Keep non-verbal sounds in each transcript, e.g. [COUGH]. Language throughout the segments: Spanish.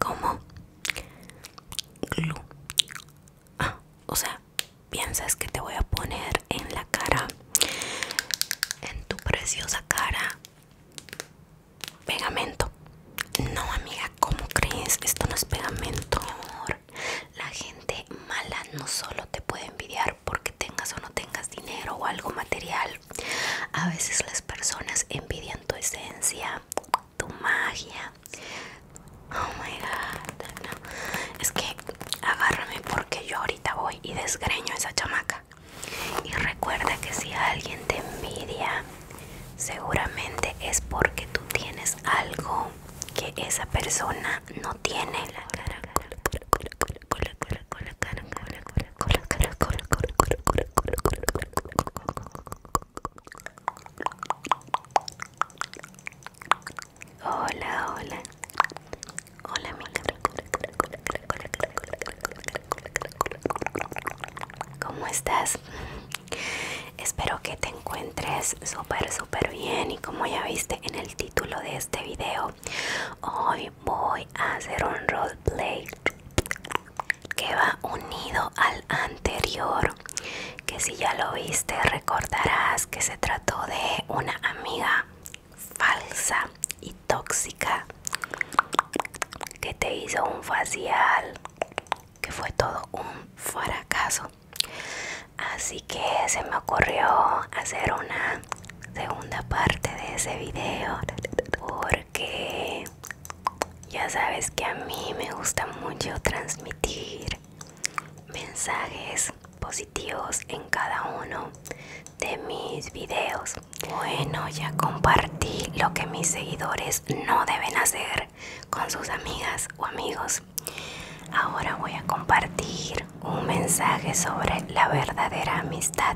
¿Cómo? Glue. Ah, o sea, piensas que te voy a poner en la cara, en tu preciosa cara, pegamento. No, amiga, ¿cómo crees? Esto no es pegamento, amor. La gente mala no solo te puede envidiar porque tengas o no tengas dinero o algo material a veces las personas envidian tu esencia, tu magia. Oh my god, no. Es que agárrame porque yo ahorita voy y desgreño esa chamaca. Y recuerda que si alguien te envidia, seguramente es porque tú tienes algo que esa persona no tiene. La Hola, hola Hola, hola. Hola, hola, ¿Cómo estás? Espero que te encuentres súper, súper bien y como ya viste en el título de este video, hoy voy a hacer un roleplay que va unido al anterior que si ya lo viste recordarás que se trató de una amiga falsa y tóxica que te hizo un facial que fue todo un fracaso así que se me ocurrió hacer una segunda parte de ese video porque ya sabes que a mí me gusta mucho transmitir mensajes positivos en cada uno de mis videos. Bueno, ya compartí lo que mis seguidores no deben hacer con sus amigas o amigos. Ahora voy a compartir un mensaje sobre la verdadera amistad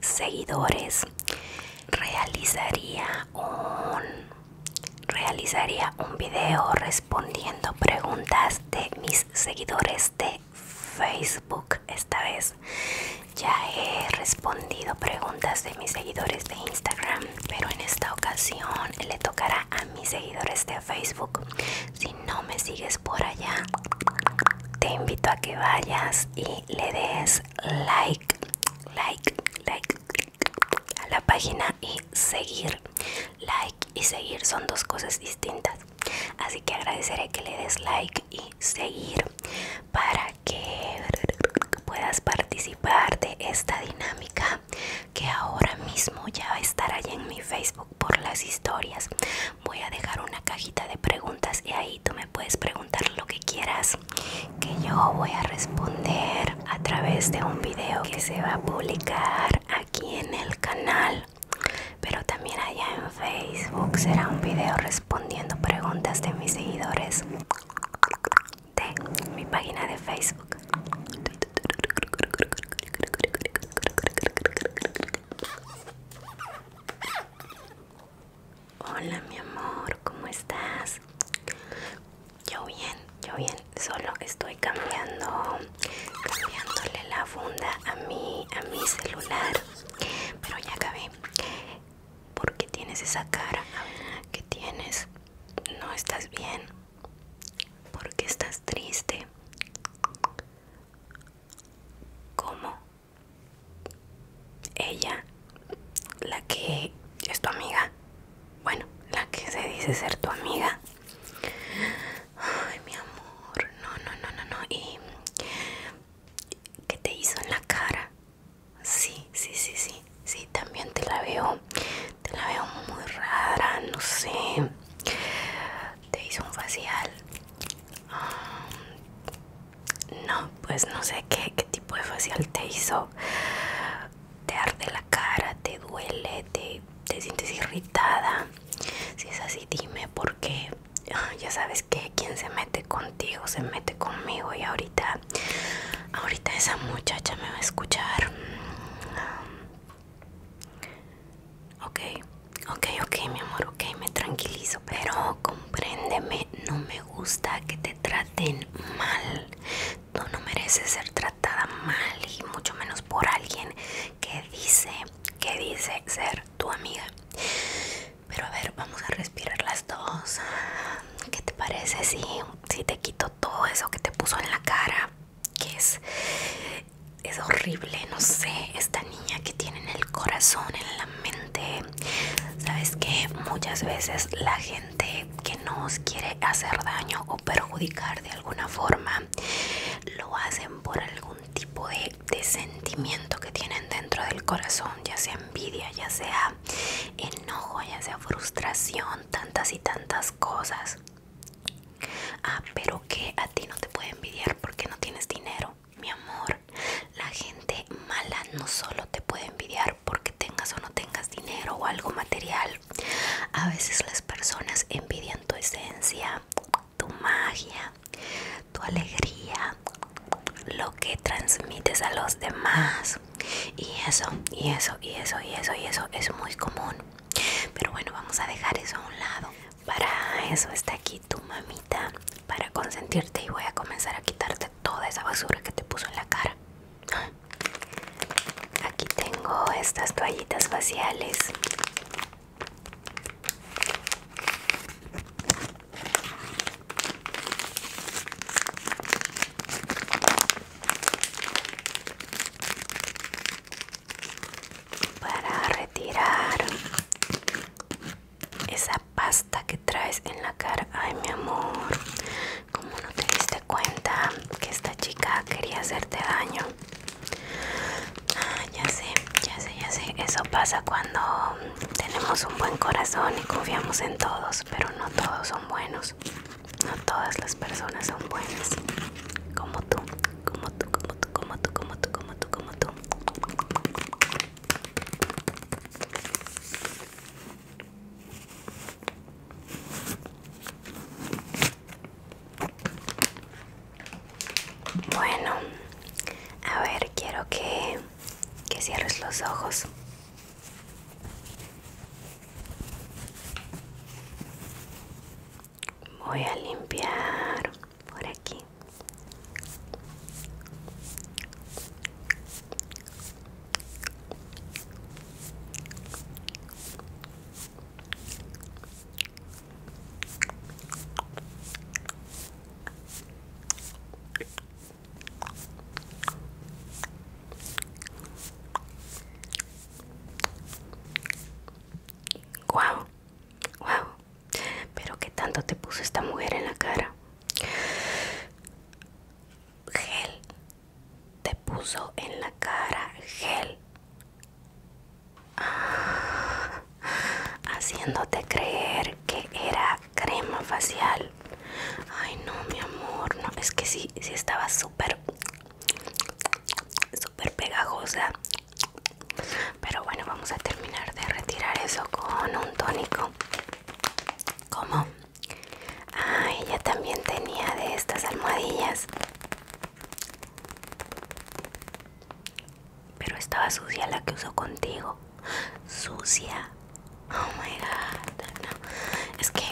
seguidores realizaría un realizaría un video respondiendo preguntas de mis seguidores de Facebook esta vez ya he respondido preguntas de mis seguidores de Instagram pero en esta ocasión le tocará a mis seguidores de Facebook si no me sigues por allá te invito a que vayas y le des like like, like, a la página y seguir. Like y seguir son dos cosas distintas. Así que agradeceré que le des like y seguir para que puedas participar de esta dinámica que ahora mismo ya va a estar allá en mi Facebook por las historias. Voy a dejar una cajita de preguntas y ahí tú me puedes preguntar lo que quieras que yo voy a responder a través de un video que se va a publicar aquí en el canal pero también allá en Facebook será un video respondiendo preguntas de mis seguidores de mi página de Facebook Hola mi amor, ¿cómo estás? Yo bien, yo bien, solo estoy cambiando, cambiándole la funda a mi, a mi celular, pero ya acabé. ¿Por qué tienes esa cara? ¿Qué tienes? ¿No estás bien? ¿Por qué estás triste? ¿Cómo? Ella, la que es tu amiga, bueno, la que se dice ser tu amiga. Ay, mi amor, no, no, no, no, no. ¿Y qué te hizo en la cara? Sí, sí, sí, sí, sí, también te la veo, te la veo muy rara, no sé. Te hizo un facial. Ah, no, pues no sé qué, tipo de facial te hizo. Te arde la cara, te duele, te, sientes irritada. Si es así, dime porque ah, ya sabes que quien se mete contigo se mete conmigo y ahorita, ahorita esa muchacha me va a escuchar. Mm, ok, ok, ok, mi amor, ok, me tranquilizo, pero compréndeme, no me gusta que te traten mal. Tú no mereces ser tratada mal y mucho menos por alguien que dice, que dice ser tu amiga. Pero a ver, vamos a respirar las dos. ¿Qué te parece si, si te quito todo eso que te puso en la cara? Que es, es horrible, no sé, esta niña que tiene en el corazón, en la Sabes que muchas veces la gente que nos quiere hacer daño o perjudicar de alguna forma lo hacen por algún tipo de, sentimiento que tienen dentro del corazón, ya sea envidia, ya sea enojo, ya sea frustración, tantas y tantas cosas. Ah, pero que a ti no te puede envidiar porque no tienes dinero mi amor, la gente mala no solo te puede envidiar porque tengas o no tengas dinero o algo material. A veces las personas envidian tu esencia, tu magia, tu alegría, lo que transmites a los demás. Y eso, y eso, y eso, y eso, y eso es muy común. Pero bueno, vamos a dejar eso a un lado. Para eso está aquí tu mamita, para consentirte y voy a comenzar a quitarte toda esa basura que te puso en la cara. Aquí tengo estas toallitas faciales. Para retirar esa pasta que traes en la cara. Ay, mi amor, como no te diste cuenta que esta chica quería hacerte daño. Ah, ya sé, ya sé, ya sé. Eso pasa cuando tenemos un buen corazón y confiamos en todos, pero no todos son buenos. No todas las personas son buenas. Como tú, como tú, como tú, como tú, como tú, como tú, como tú. Bueno, a ver, quiero que, cierres los ojos. Voy a limpiar por aquí. Wow, wow. Pero qué tanto te puso esta mujer en la cara. Gel. Te puso en la cara gel. Ah, haciéndote creer que era crema facial. Ay no, mi amor, no, es que sí, sí estaba súper, súper pegajosa. Pero bueno, vamos a terminar de retirar eso con un tónico. ¿Cómo? Ah, ella también tenía de estas almohadillas. Pero estaba sucia la que usó contigo. Sucia. Oh my god. Es que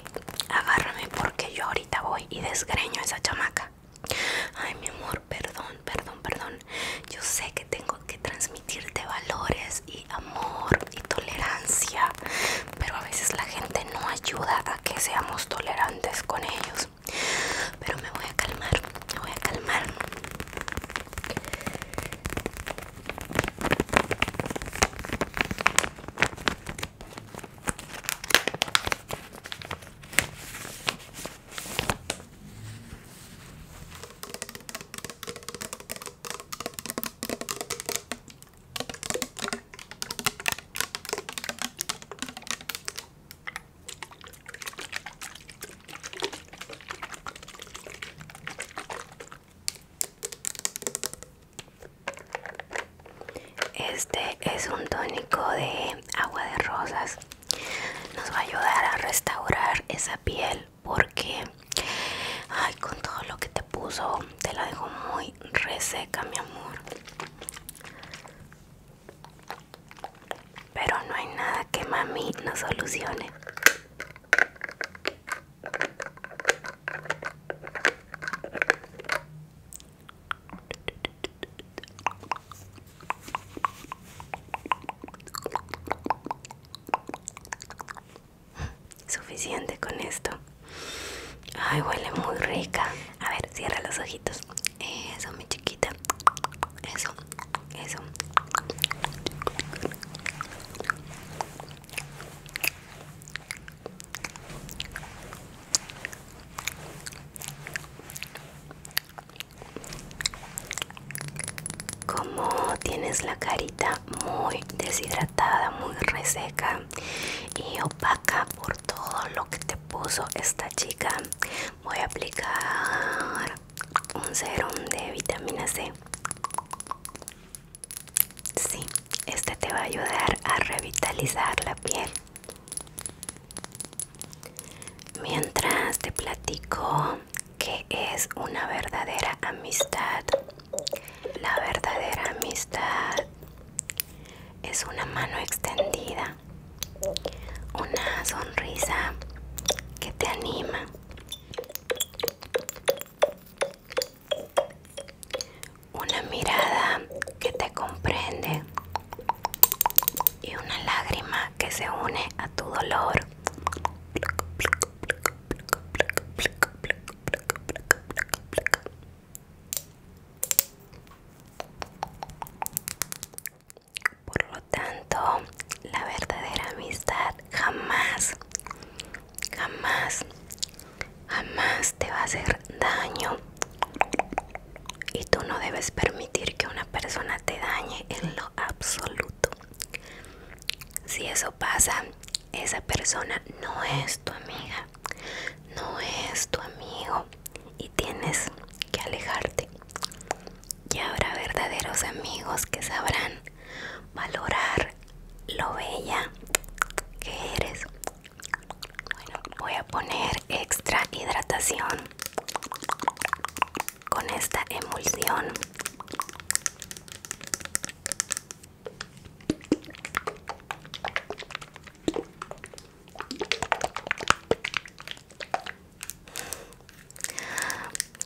agárrame porque yo ahorita voy y desgreño esa chamaca. Ay, mi amor, perdón, perdón, perdón. Yo sé que tengo que transmitirte valores y amor y tolerancia, pero a veces la gente no ayuda a que seamos tolerantes con ellos. Pero me voy a calmar, me voy a calmar. Este es un tónico de agua de rosas. Nos va a ayudar a restaurar esa piel porque ay con todo lo que te puso te la dejo muy reseca mi amor pero no hay nada que mami no solucione Suficiente con esto. Ay, huele muy rica. A ver, cierra los ojitos. Eso, mi chiquita. Eso, eso como tienes la carita muy deshidratada, muy reseca y opaca por todo lo que te puso esta chica, voy a aplicar un serum de vitamina C. Sí, este te va a ayudar a revitalizar la piel. Mientras te platico que es una verdadera amistad. La verdadera amistad es una mano extendida, una sonrisa que te anima, una mirada que te comprende y una lágrima que se une a tu dolor. Por lo tanto, la verdadera amistad jamás, jamás, jamás te va a hacer daño. Y tú no debes permitir que una persona te dañe en lo absoluto si eso pasa, esa persona no es tu amiga, no es tu amigo y tienes que alejarte. Y habrá verdaderos amigos que sabrán valorar lo bella que eres. Bueno, voy a poner extra hidratación con esta emulsión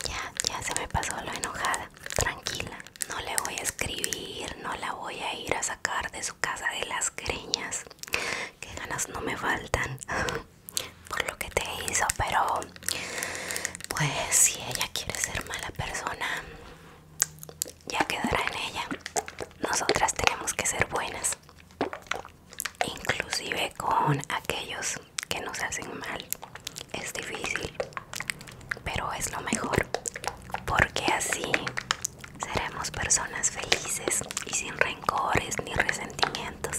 ya, ya se me pasó lo enojada, tranquila, no le voy a escribir, no la voy a ir a sacar de su casa de las greñas, que ganas no me faltan [LAUGHS] por lo que te hizo, pero pues si ella quiere ser mala persona, ya quedará en ella. Nosotras tenemos que ser buenas, inclusive con aquellos que nos hacen mal. Es difícil, pero es lo mejor, porque así seremos personas felices y sin rencores ni resentimientos.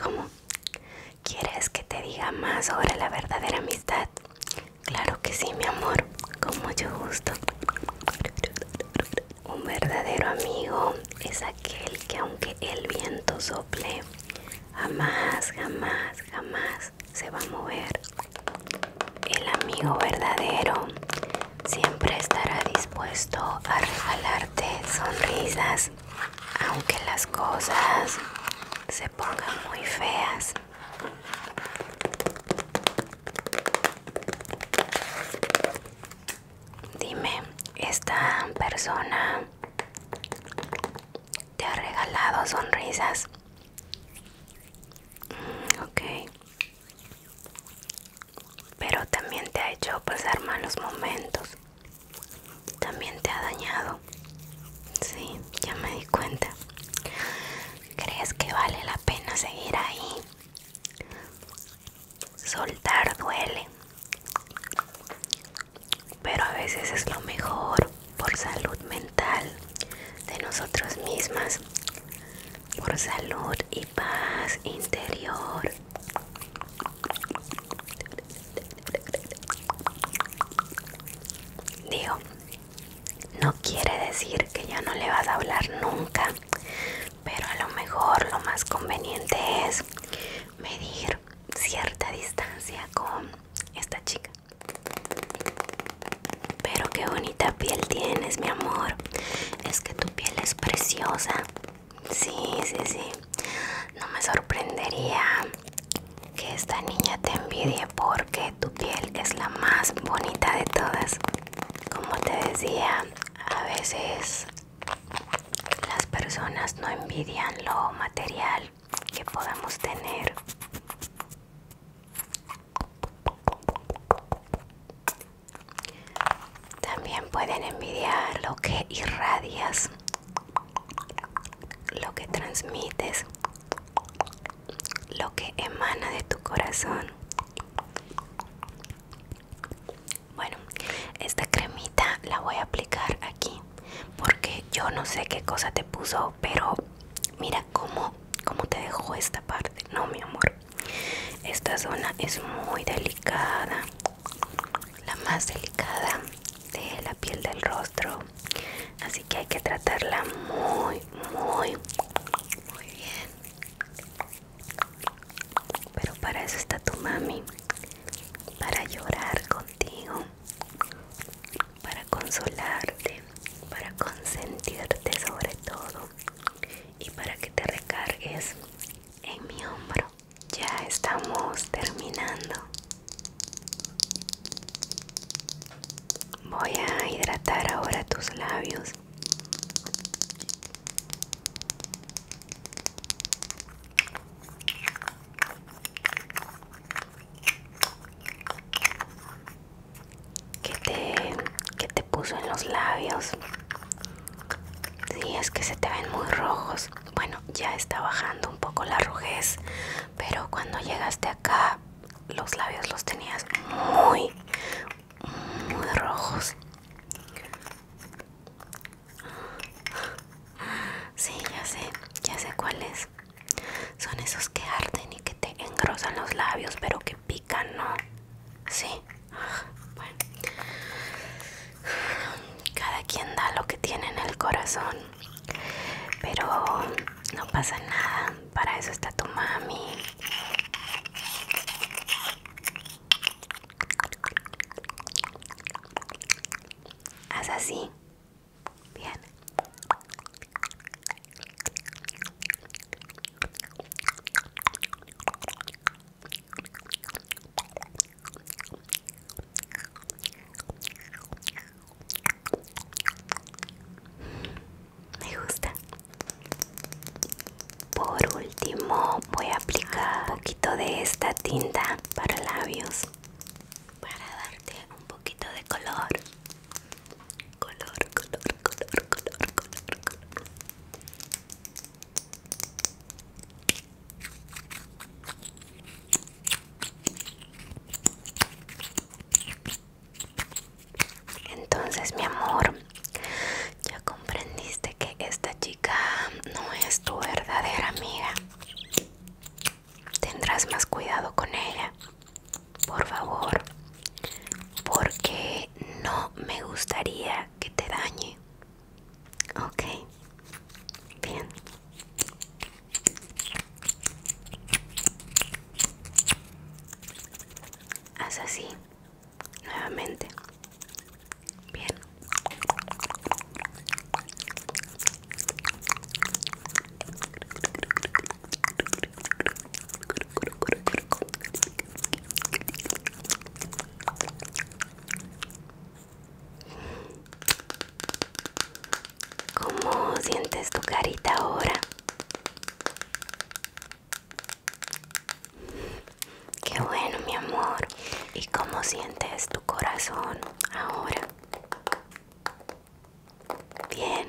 ¿Cómo? ¿Quieres que te diga más sobre la verdadera amistad? Claro que sí, mi amor, con mucho gusto. Un verdadero amigo es aquel que aunque el viento sople, jamás, jamás, jamás se va a mover. El amigo verdadero siempre estará dispuesto a regalarte sonrisas, aunque las cosas se pongan muy feas. Dime, ¿esta persona te ha regalado sonrisas? Ok. Pero también te ha hecho pasar malos momentos. También te ha dañado. Sí, ya me di cuenta. ¿Crees que vale la pena seguir ahí? Soltar duele. Pero a veces es lo mejor por salud mental de nosotros mismas, por salud y paz interior. Digo, no quiere decir que ya no le vas a hablar nunca, pero a lo mejor lo más conveniente es medir cierta distancia con esta chica. Pero qué bonita piel tienes, mi amor. Es que tu piel es preciosa. Sí, sí, sí. No me sorprendería que esta niña te envidie porque tu piel es la más bonita de todas. Como te decía, a veces las personas no envidian lo material que podemos tener también pueden envidiar lo que irradias, lo que transmites, lo que emana de tu corazón. Bueno, esta cremita la voy a aplicar aquí porque yo no sé qué cosa te puso pero mira cómo, te dejo esta parte. No, mi amor. Esta zona es muy delicada. La más delicada de la piel del rostro. Así que hay que tratarla muy, muy, muy bien. Pero para eso está tu mami. Para llorar contigo para consolarte, para consentirte sobre todo y para que te recargues en mi hombro. Ya estamos terminando. Voy a hidratar ahora tus labios que te, que te puso en los labios. si, es que se te ven muy rojos. Bueno, ya está bajando un poco la rojez, pero cuando llegaste acá, los labios los tenías muy, muy rojos. si, ya sé, ya sé cuál es. Son esos que arden y que te engrosan los labios, pero que pican, ¿no? Sí. Bueno. Cada quien da lo que tiene en el corazón. Pero no pasa nada. Para eso está tu mami. Haz así. Bien. Me gusta. Por último, voy a aplicar un poquito de esta tinta para labios para darte poquito de color. Color, color, color, color, color, color. Entonces, mi amor, ya comprendiste que esta chica no es tu verdadera amiga. Tendrás más cuidado con ella por favor, porque no me gustaría que te dañe. Ok, bien. Haz así, nuevamente. Bien. ¿Cómo sientes tu carita ahora? Qué bueno, mi amor. ¿Y cómo sientes tu corazón ahora? Bien,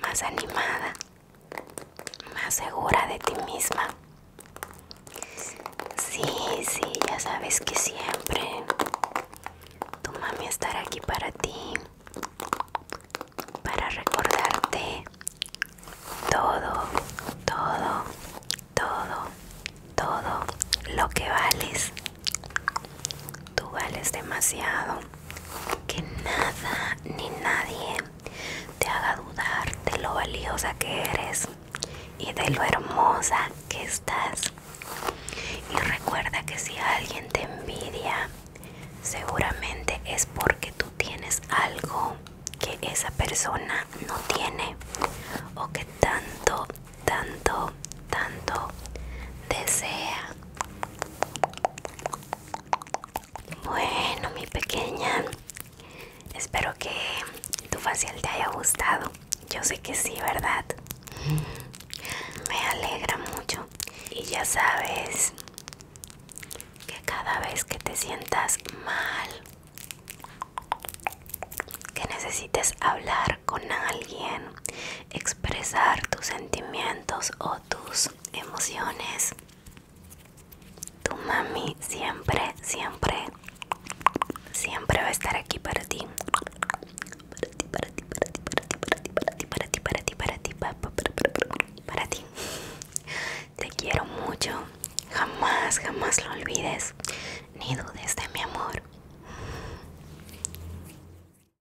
más animada, más segura de ti misma. Sí, sí, ya sabes que siempre tu mami estará aquí para ti, para recordarte todo, todo, todo, todo lo que vales. Tú vales demasiado que nada ni nadie te haga dudar de lo valiosa que eres y de lo hermosa que estás. Y recuerda que si alguien te envidia, seguramente es porque tú tienes algo que esa persona no tiene o que tanto, tanto, tanto desea bueno, mi pequeña, espero que tu facial te haya gustado. Yo sé que sí, ¿verdad? Me alegra mucho. Y ya sabes que cada vez que te sientas mal, que necesites hablar con alguien, expresar tus sentimientos o tus emociones. Tu mami siempre, siempre, siempre va a estar aquí para ti. Para ti, para ti, para ti, para ti, para ti, para ti, para ti, para ti, para ti, para ti, para ti. Te quiero mucho. Jamás, jamás lo olvides. Ni dudes de mi amor.